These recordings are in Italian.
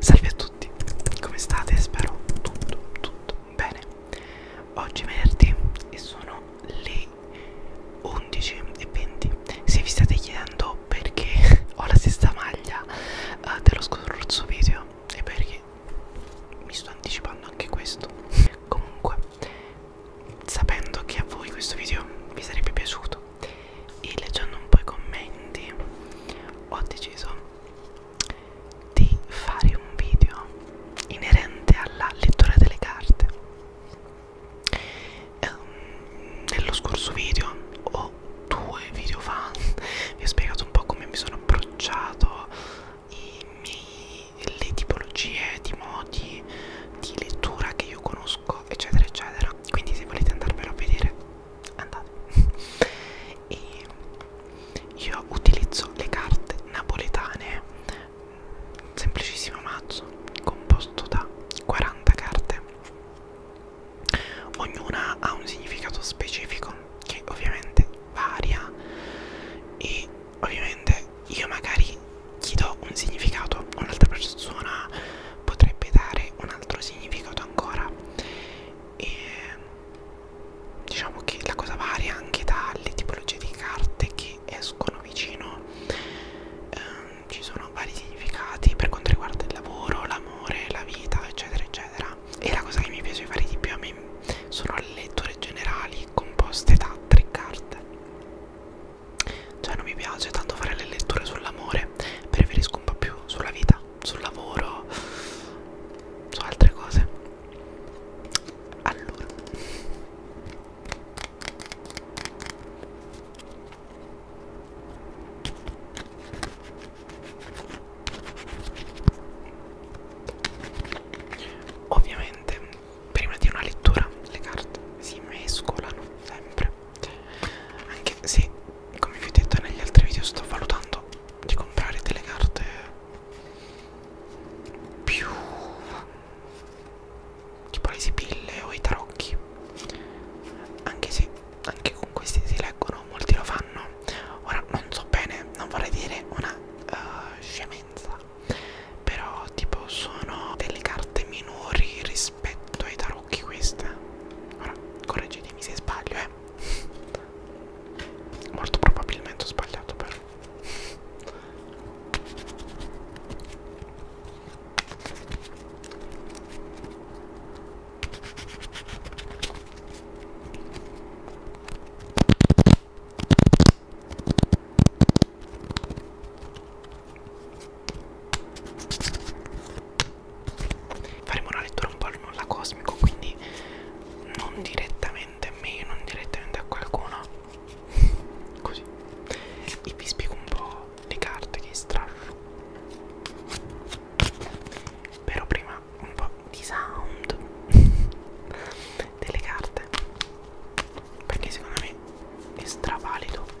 Salve a tutti, come state? Spero tutto, tutto bene. Oggi è venerdì e sono le 11.20. Se vi state chiedendo perché ho la stessa maglia uh, dello scorso video, è perché mi sto anticipando anche questo. Comunque, sapendo che a voi questo video vi sarebbe piaciuto e leggendo un po' i commenti ho deciso di fare un video inerente alla lettura delle carte um, nello scorso video o due video fa vi ho spiegato un po' come mi sono approcciato i miei, le tipologie di modi di lettura che io conosco eccetera eccetera quindi se volete andarvelo a vedere andate e io utilizzo le carte napoletane semplicissimo mazzo composto da 40 carte ognuna ha un significato specifico che ovviamente varia e ovviamente io magari gli do un significato un'altra persona potrebbe dare un altro significato ancora e diciamo che la cosa varia anche dalle tipologie di carte che escono vicino ehm, ci sono vari significati per quanto riguarda il lavoro l'amore la vita eccetera eccetera e la cosa che mi piace fare di più a me sono le letture generali composte da tre carte cioè non mi piace tanto fare le letture sull'amore preferisco un po' più sulla vita sul lavoro, su altre cose. Allora. Ovviamente prima di una lettura le carte si mescolano sempre anche se, come vi ho detto negli altri video, sto valutando di comprare delle carte più tipo le sibille o i tarocchi. Anche se anche con questi si leggono, molti lo fanno. Ora non so bene, non vorrei dire una uh, scemenza. Però tipo sono delle carte minori rispetto ai tarocchi occhi questa. Ora, correggetemi se sbaglio, eh. Molto probabilmente ho sbagliato però faremo una lettura un po' al nulla cosmico quindi non direttamente a me non direttamente a qualcuno così e vi spiego un po' le carte che estraggo però prima un po' di sound delle carte perché secondo me è stravalido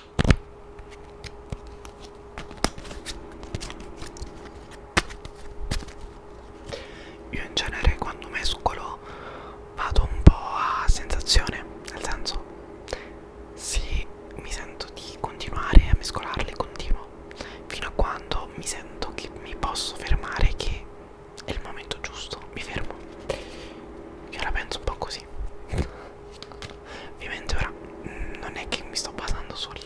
Io in genere quando mescolo vado un po' a sensazione, nel senso se mi sento di continuare a mescolarli continuo fino a quando mi sento che mi posso fermare che è il momento giusto, mi fermo. Io la penso un po' così. Ovviamente ora mh, mm, non è che mi sto basando sul,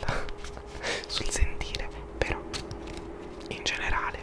sul sentire, però in generale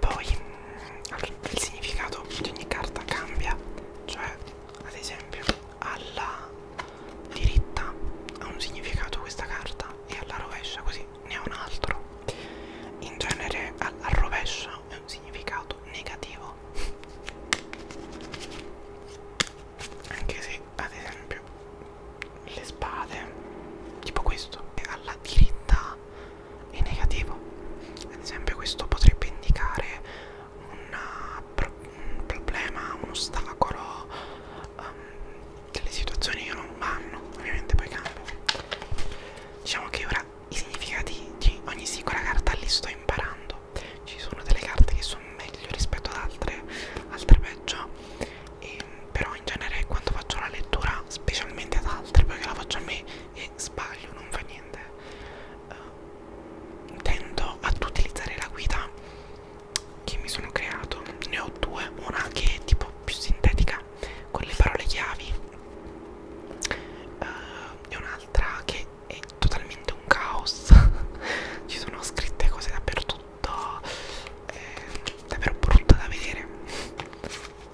Poi mm, il significato di ogni carta cambia, cioè ad esempio alla diritta ha un significato questa carta e alla rovescia così ne ha un altro. In genere alla rovescia è un significato negativo. Anche se ad esempio le spade, tipo questo, alla diritta è negativo. Ad esempio questo potrebbe indicare una, un problema, un ostacolo, um, ehm, delle situazioni che non vanno, ovviamente poi cambia. Diciamo che ora i significati di ogni singola carta li sto imparando. Ci sono delle carte che sono meglio rispetto ad altre, altre peggio. E, ehm, però in genere quando faccio la lettura, specialmente ad altre, perché la faccio a me, è se sbaglio non fa niente uh, tendo ad utilizzare la guida che mi sono creato ne ho due una che è tipo più sintetica con le parole chiavi uh, e un'altra che è totalmente un caos ci sono scritte cose dappertutto è davvero eh, brutto da vedere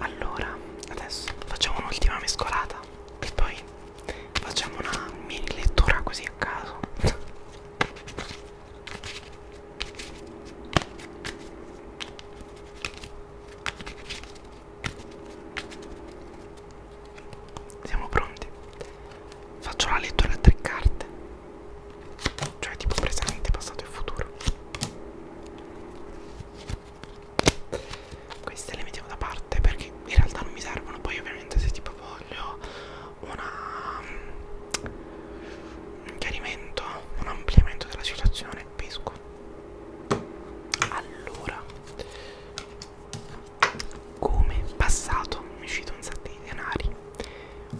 Allora, adesso facciamo un'ultima mescolata e poi facciamo una mini lettura così a caso siamo pronti faccio la lettura a tre carte cioè tipo presente passato e futuro queste le mettiamo da parte perché in realtà non mi servono poi ovviamente se tipo voglio una, mm, un chiarimento, un ampliamento della situazione, pesco. Allora, come passato mi uscito un sacco di denari,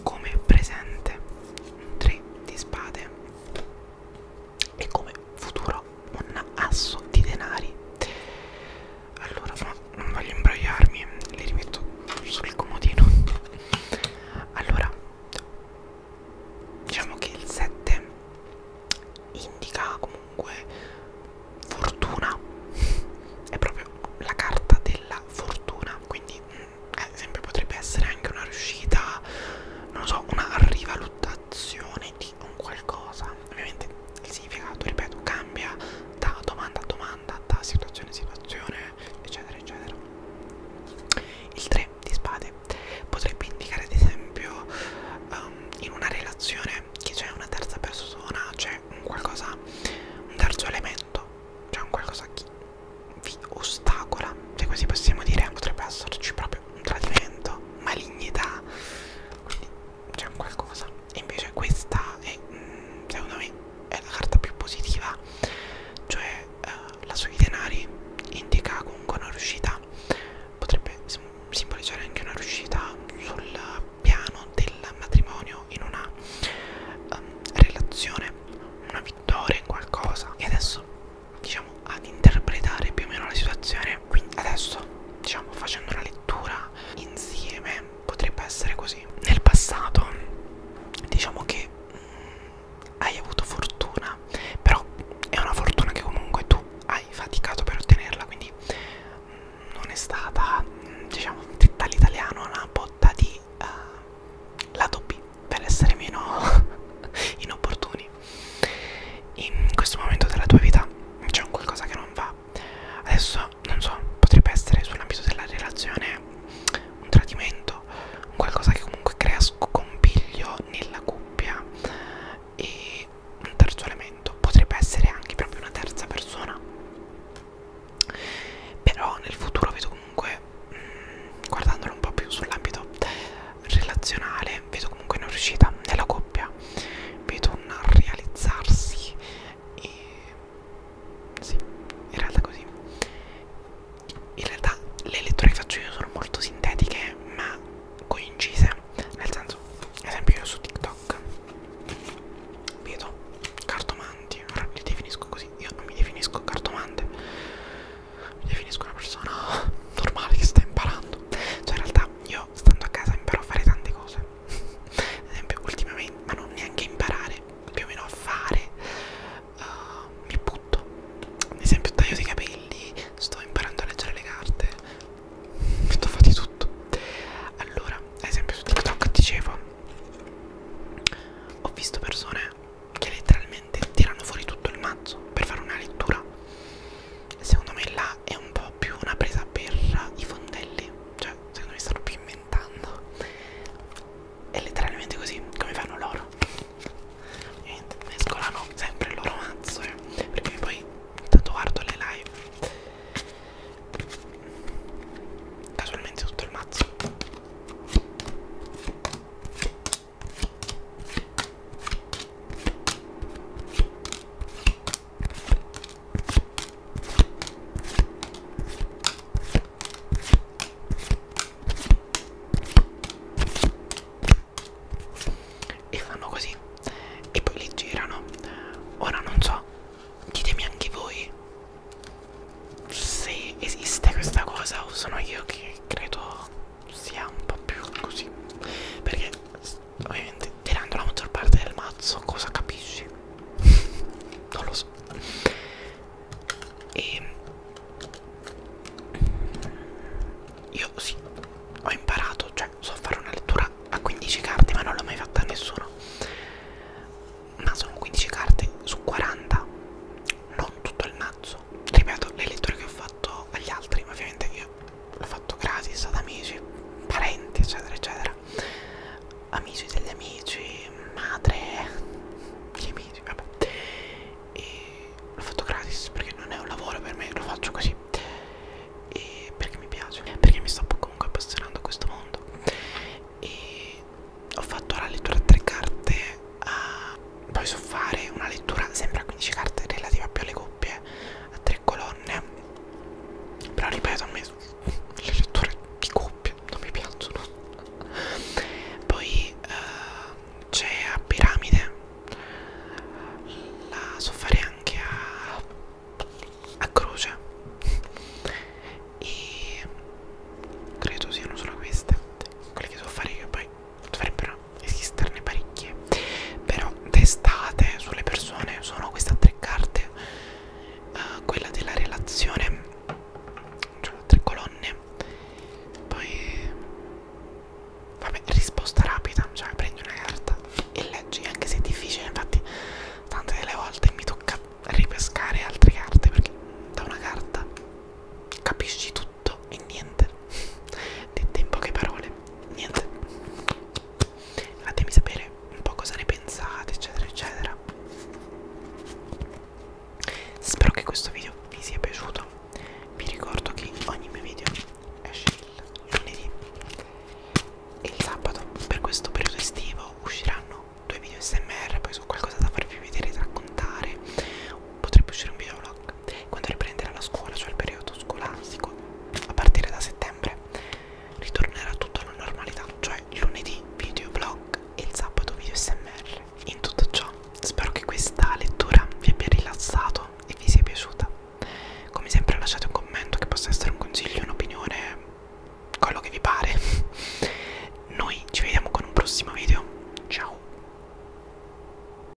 come presente un 3 di spade e come futuro un asso di denari allora no, non voglio imbrogliarmi le rimetto sul comodino allora diciamo che il 7 indica comunque fortuna è proprio la carta della fortuna quindi ad mm, esempio eh, potrebbe essere anche una riuscita non so una rivalutazione di un qualcosa ovviamente il significato, ripeto, cambia da domanda a domanda, da situazione a situazione, eccetera, eccetera. Il 3 di spade potrebbe indicare, ad esempio, um, in una relazione che c'è una terza persona, c'è un qualcosa, un terzo elemento, c'è un qualcosa che vi ostacola, se così possiamo dire, potrebbe esserci proprio un tradimento, malignità. Quindi c'è un qualcosa e invece questa è mm, secondo me è la carta più positiva cioè uh, la sui denari indica comunque una riuscita potrebbe sim simboleggiare anche una riuscita sul piano del matrimonio in una um, relazione una vittoria in qualcosa e adesso diciamo ad interpretare più o meno la situazione quindi adesso diciamo facendo una lettura lettura insieme potrebbe essere così nel passato diciamo che mh, mm, hai avuto fortuna però è una fortuna che comunque tu hai faticato per ottenerla quindi mh, mm, non è stata mh, mm, diciamo dall'italiano una botta di uh, lato B per essere meno inopportuni in questo momento della tua vita c'è un qualcosa che non va adesso non so potrebbe essere sull'ambito della relazione un tradimento un qualcosa che comunque crea scompiglio nella coppia e un terzo elemento potrebbe essere anche proprio una terza persona però nel futuro vedo comunque mh, mm, guardandolo un po' più sull'ambito relazionale vedo comunque una riuscita nella coppia idea vedo un realizzarsi e sì in realtà così in realtà le letture che faccio io sono molto sintetiche ma coincise nel senso ad esempio io su TikTok vedo cartomanti ora li definisco così io non mi definisco cartomante mi definisco una persona normale che sta imparando cioè in realtà io però stando a casa imparo a fare tante cose ad esempio ultimamente ma non neanche imparare più o meno a fare uh, eh, mi butto ad esempio taglio dei capelli sto imparando a leggere le carte sto fa di tutto allora ad esempio su TikTok dicevo ho visto persone che letteralmente tirano fuori tutto il mazzo per fare una lettura secondo me là realtà è un po' più una presa per i fondelli, cioè secondo me stanno più inventando. È letteralmente così, come fanno loro. Niente, mescolano sempre il loro mazzo, eh, perché poi intanto guardo le live. Casualmente tutto il mazzo e fanno così e poi li girano ora non so ditemi anche voi se esiste questa cosa o sono io che credo sia un po' più così perché ovviamente tirando la maggior parte del mazzo cosa capisci non lo so e ehm, io sì ho imparato cioè so fare una lettura a 15 carte ma non l'ho mai fatta a nessuno ma sono 15 carte su 40 non tutto il mazzo ripeto le letture che ho fatto agli altri ovviamente io l'ho fatto gratis ad amici, parenti, eccetera, eccetera, amici degli amici, madre, gli amici, vabbè, e l'ho fatto gratis perché non è un lavoro per me, lo faccio così e perché mi piace, perché mi sto comunque appassionando a questo mondo. E ho fatto la lettura a tre carte, uh, poi so fare una lettura sempre a 15 carte relativa più alle doppie a tre colonne però ripeto a me le letture di coppie non mi piacciono poi uh, c'è a piramide la so fare anche a, a croce e credo siano solo queste quelle che so fare io poi dovrebbero esisterne parecchie però d'estate sulle persone sono queste tre carte uh, quella della relazione cioè tre colonne poi vabbè risposta rapida cioè prendi una carta e leggi anche se è difficile infatti tante delle volte mi tocca ripescare altre carte perché da una carta capisci tutto tutto e niente dette in poche parole niente fatemi sapere un po' cosa ne pensate eccetera eccetera spero che questo video vi sia piaciuto vi ricordo che ogni mio video esce il lunedì e il sabato per questo periodo estivo usciranno due video smr poi su qualcosa da farvi vedere da raccontare potrebbe uscire un video vlog quando riprenderà la scuola, cioè il periodo scolastico, a partire da settembre, ritornerà tutto alla normalità, cioè lunedì video vlog e il sabato video smr. In tutto ciò, spero che questa lettura vi abbia rilassato e vi sia piaciuta. Come sempre lasciate un commento che possa essere un consiglio, un'opinione, quello che vi pare. Noi ci vediamo con un prossimo video. Ciao!